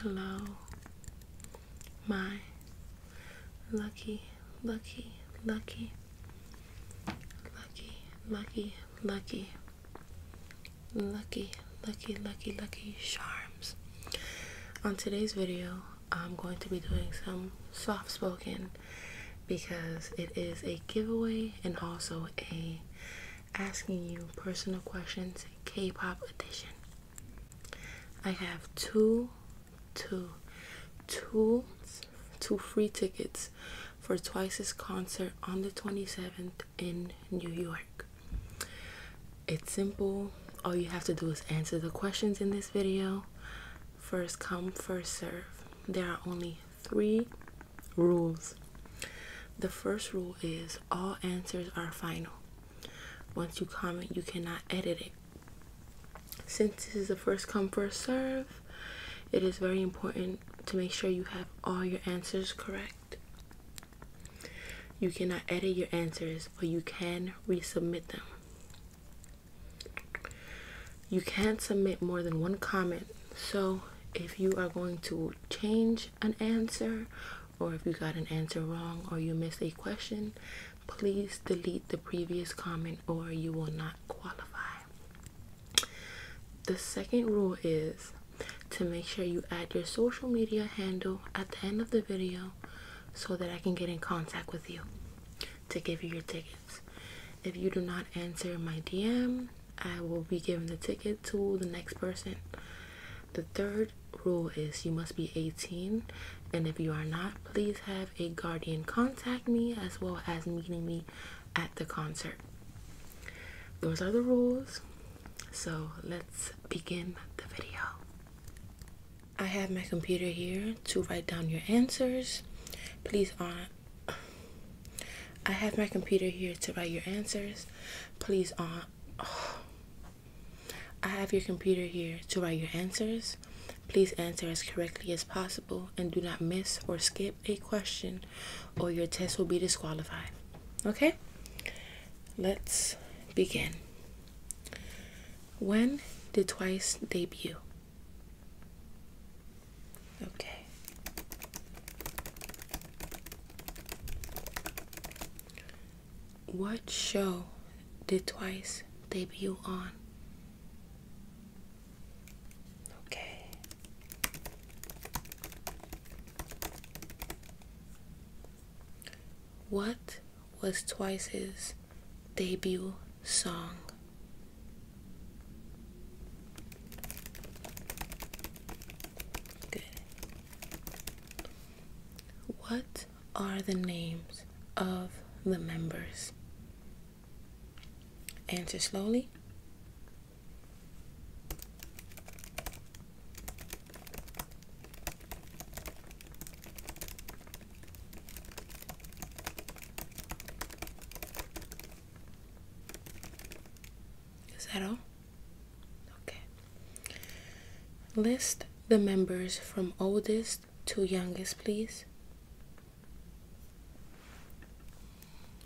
Hello, my lucky, lucky, lucky, lucky, lucky, lucky, lucky, lucky, lucky, lucky charms. On today's video, I'm going to be doing some soft spoken because it is a giveaway and also a asking you personal questions K-pop edition. I have two, two, two, two free tickets for Twice's concert on the 27th in New York. It's simple. All you have to do is answer the questions in this video. First come, first serve. There are only three rules. The first rule is all answers are final. Once you comment, you cannot edit it. Since this is a first come, first serve, it is very important to make sure you have all your answers correct. You cannot edit your answers, but you can resubmit them. You can't submit more than one comment. So, if you are going to change an answer or if you got an answer wrong or you missed a question, please delete the previous comment or you will not qualify. The second rule is to make sure you add your social media handle at the end of the video so that I can get in contact with you to give you your tickets. If you do not answer my DM, I will be giving the ticket to the next person. The third rule is you must be 18, and if you are not, please have a guardian contact me as well as meeting me at the concert. Those are the rules. So let's begin the video. I have my computer here to write down your answers. Please on uh, I have my computer here to write your answers. Please on uh, I have your computer here to write your answers. Please answer as correctly as possible and do not miss or skip a question or your test will be disqualified. Okay? Let's begin. When did Twice debut? Okay. What show did Twice debut on? Okay. What was Twice's debut song? Good. What are the names of the members? Answer slowly. Is that all? Okay. List the members from oldest to youngest, please.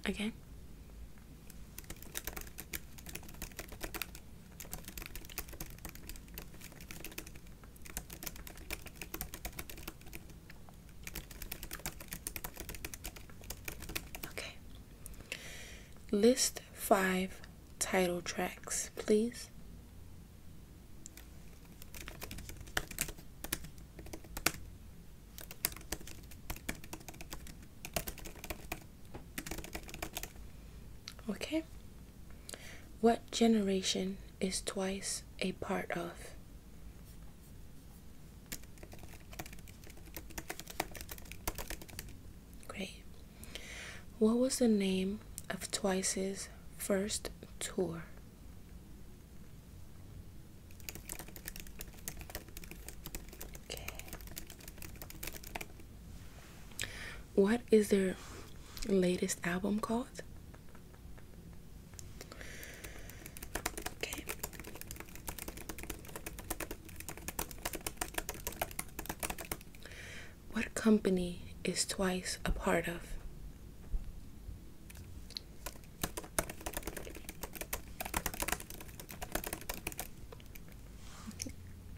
Again. Okay. List five title tracks, please. Okay. What generation is twice a part of? Great. What was the name of Twice's first tour? What is their latest album called? What company is twice a part of?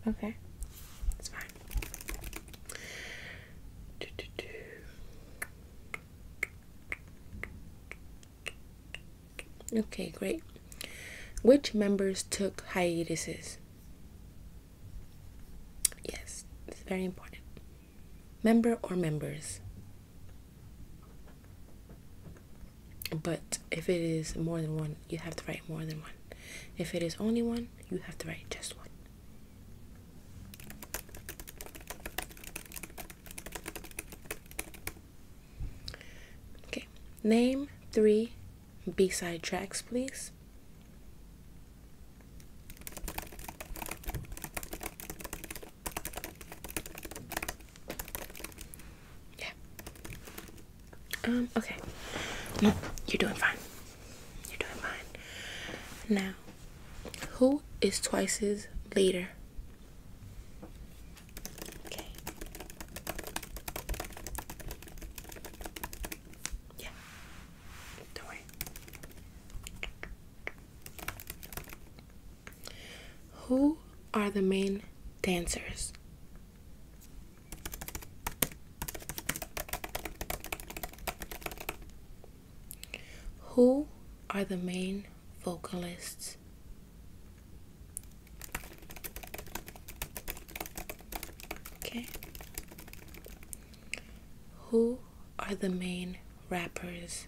Okay, it's fine. Okay, great. Which members took hiatuses? Yes, it's very important. Member or members? But if it is more than one, you have to write more than one. If it is only one, you have to write just one. Okay, name three B-side tracks, please. Yeah. Um, okay. No, you're doing fine. You're doing fine. Now, who is Twice's leader? Okay. Who are the main dancers? Who are the main vocalists? Okay. Who are the main rappers?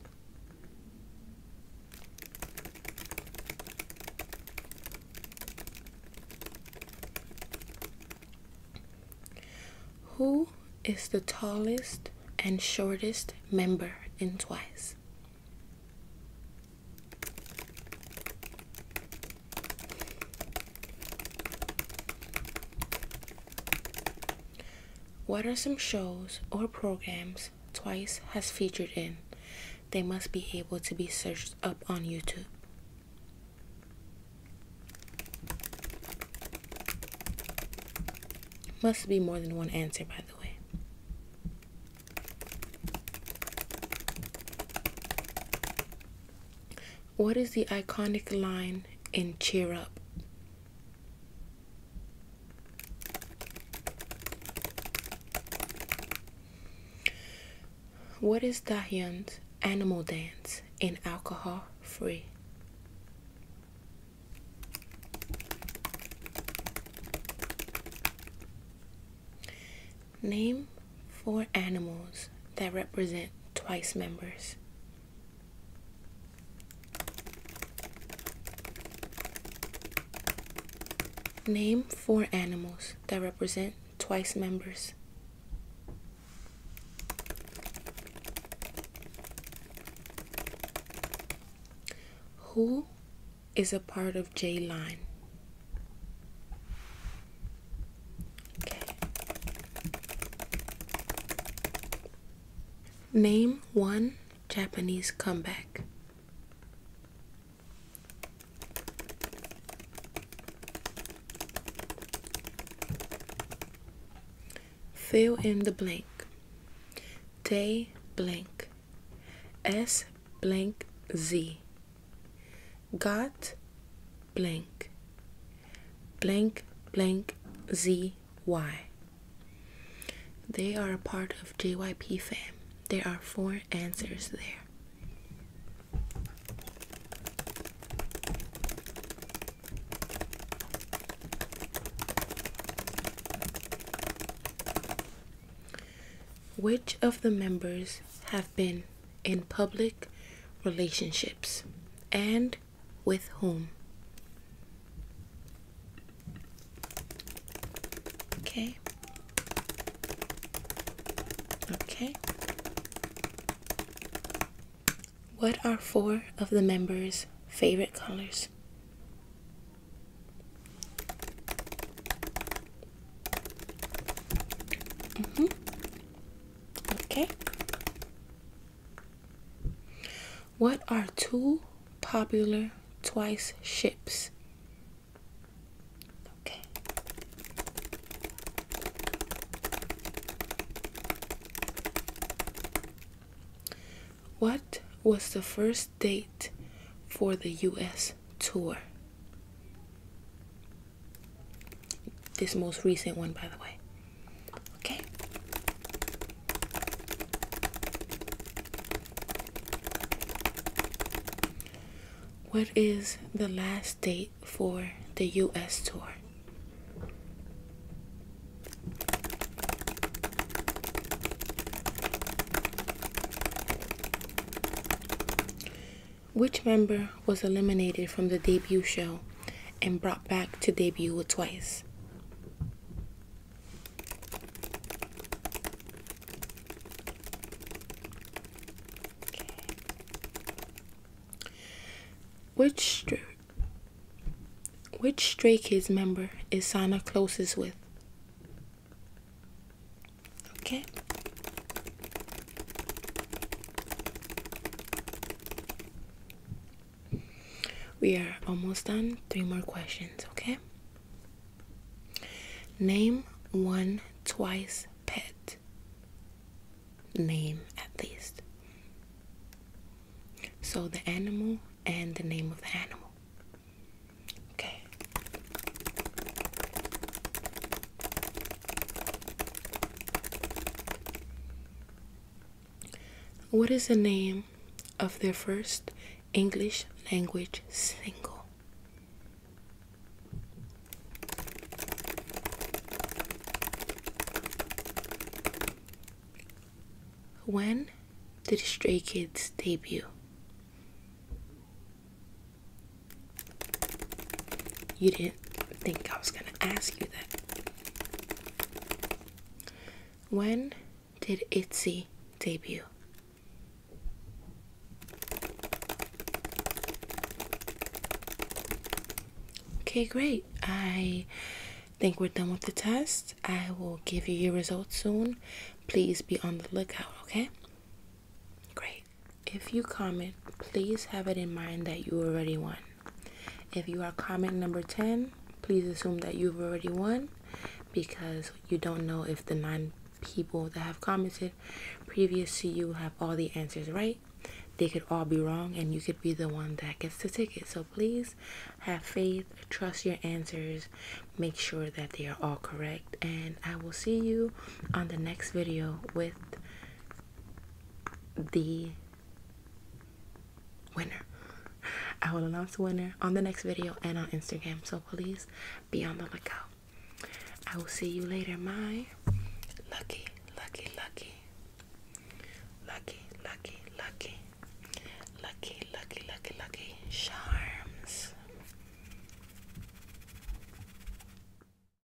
Who is the tallest and shortest member in Twice? What are some shows or programs Twice has featured in? They must be able to be searched up on YouTube. Must be more than one answer, by the way. What is the iconic line in Cheer Up? What is Dahyun's animal dance in Alcohol Free? Name four animals that represent twice members. Name four animals that represent twice members. Who is a part of? J line. Okay. Name one Japanese comeback. Fill in the blank. Day blank. S blank Z got blank blank blank zy they are a part of JYP fam. There are four answers there. Which of the members have been in public relationships and with whom? Okay. Okay. What are four of the members' favorite colors? Mm -hmm. Okay. What are two popular twice ships? Okay. What was the first date for the US tour? This most recent one, by the way. Okay. What is the last date for the US tour? Which member was eliminated from the debut show and brought back to debut Twice? Okay. Which which Stray Kids member is Sana closest with? Okay. We are almost done. Three more questions, okay? Name one twice pet. Name at least. So the animal and the name of the animal. Okay. What is the name of their first English language single? When did Stray Kids debut? You didn't think I was going to ask you that. When did Itsy debut? Okay, great. I think we're done with the test. I will give you your results soon. Please be on the lookout, okay? Great. If you comment, please have it in mind that you already won. If you are comment number 10, please assume that you've already won because you don't know if the nine people that have commented previous to you have all the answers right. They could all be wrong and you could be the one that gets the ticket. So please have faith, trust your answers, make sure that they are all correct. And I will see you on the next video with the winner. I will announce the winner on the next video and on Instagram. So please be on the lookout. I will see you later, my lucky, lucky, lucky, lucky, lucky, lucky, lucky, lucky, lucky, charms.